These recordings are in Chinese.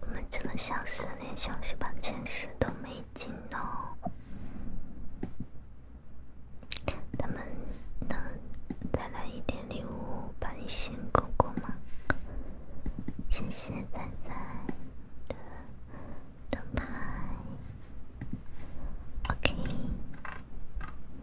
我们这个小时连消息榜前十都没进哦，他们能再来一点礼物把你先过过吗？谢谢仔仔的灯牌，OK。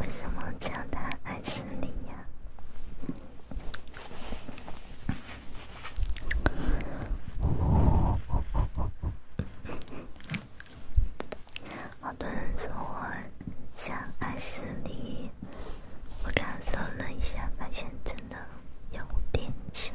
为什么叫他爱吃你呀？有人说像爱死你，我刚搜了一下，发现真的有点像。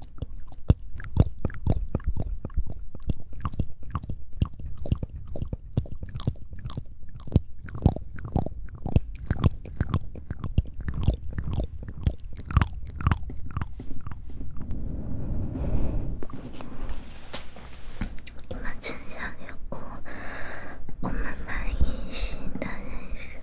你们真想给我我们满意型的认识吗？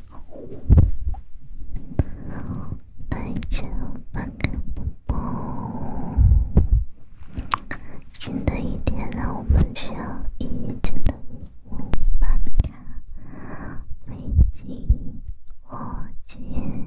大家晚安，宝宝。新的一天，让我们用一天的美梦把美景握紧。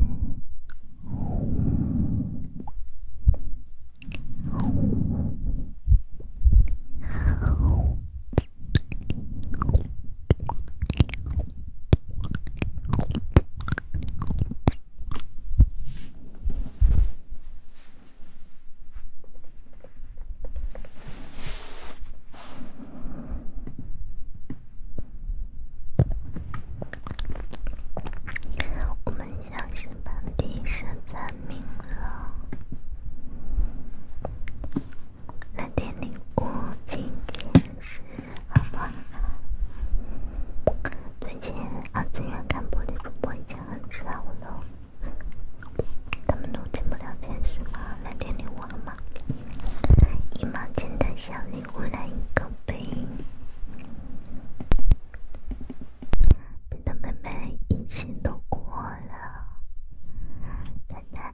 我们相声班第十三名了。蓝天礼物今天是好吧？最近二次元看播的主播已经很少了，他们都进不了前十吗？蓝天礼物了吗？一毛钱的小礼物来一个呗，别的妹妹一心都过了，奶奶。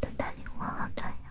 等待礼物好重要。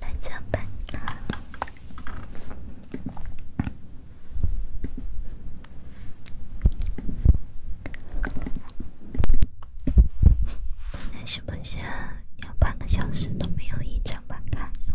来上班。那是不是要半个小时都没有一张板卡哟？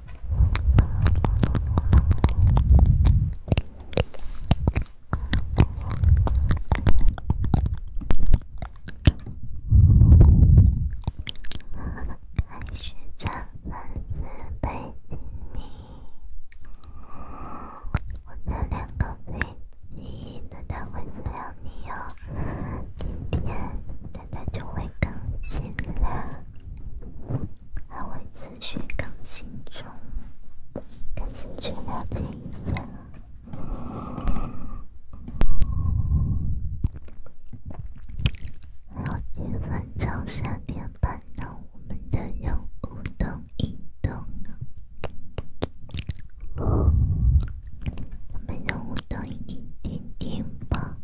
还是差三四百厘米。我的两个飞机难道会治疗你哟？今天大家就会更新了，还会持续更新中。感兴趣了解一下。还有几分三点半，让我们的任务都移动。我们任务灯一点点吧。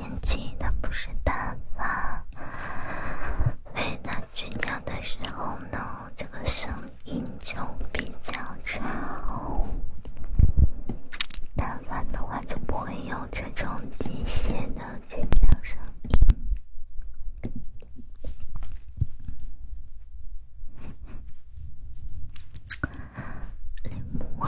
电机它不是单发，它吹鸟的时候呢，这个声音就比较吵；单发的话就不会有这种机械的吹鸟声音。哎，我。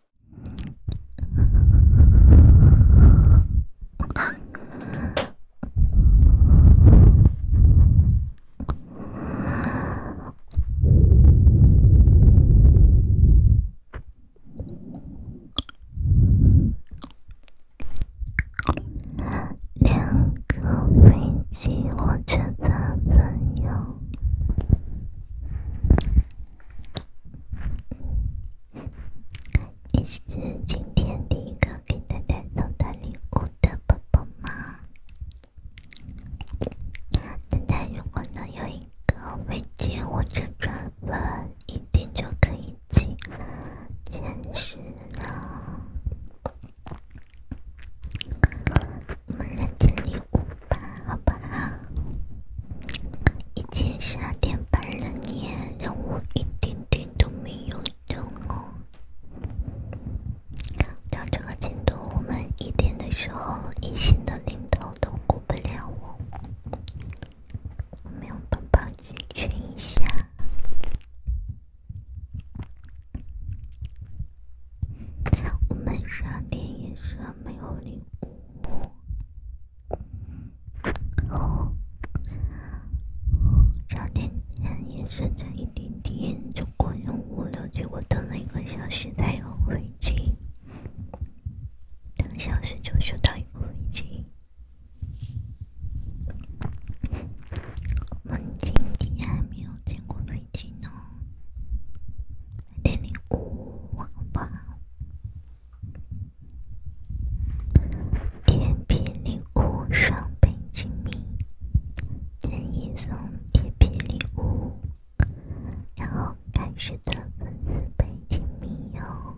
两个飞机、火车咋分哟？你是今天第一个给大家收到礼物的宝宝吗？大家如果能有一个未接或者转粉，一定就可以进前十了。我们来接礼物。吧，好吧。以前十二点半了年，让我一点点都没有动哦。照这个进度，我们一点的时候，一线的领导都顾不了我。我们让宝宝解决一下。我们十二点也是没有礼物。差点眼也升成一点点，就过成五六结果等了一个小时才有飞机，等小时就收到一个飞机。天还没有过飞机呢，好铁皮礼物双倍精蜜，建议送铁皮礼物，然后开始赚粉丝倍精蜜哟。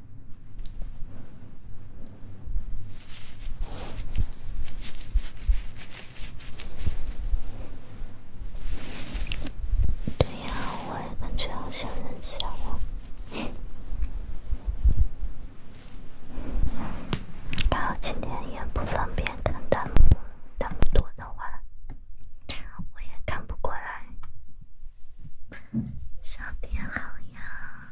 对呀，我也感觉好想认识我。然后今天也不方便看弹幕，弹幕多的话，我也看不过来。少点好呀。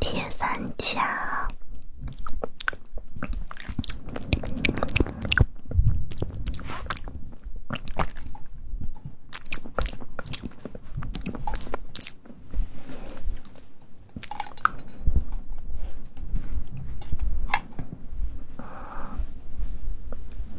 铁三角。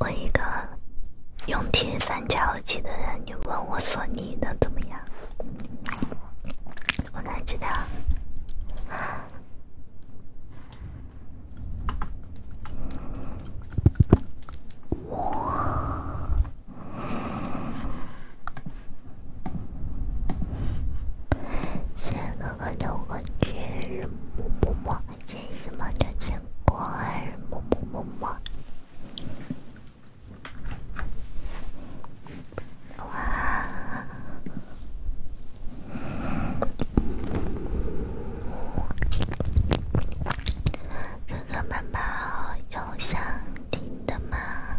我一个用铁三角耳机的人，你问我说你的怎么样？我感觉，哇！谢谢哥哥的我节日么么么！谢谢妈妈的赞，么么么么！哥哥们，宝有想听的吗？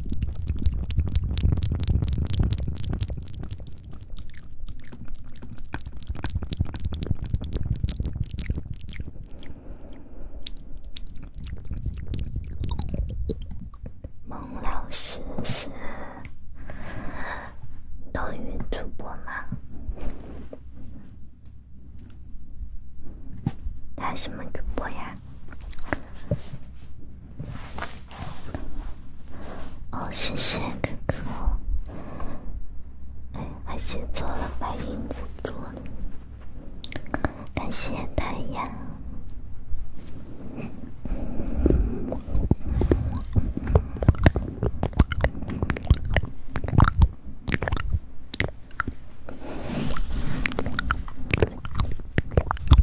孟老师是抖音主播吗？他什么主播呀？哦，谢谢哥哥，还还解锁了白银辅多。感谢太阳。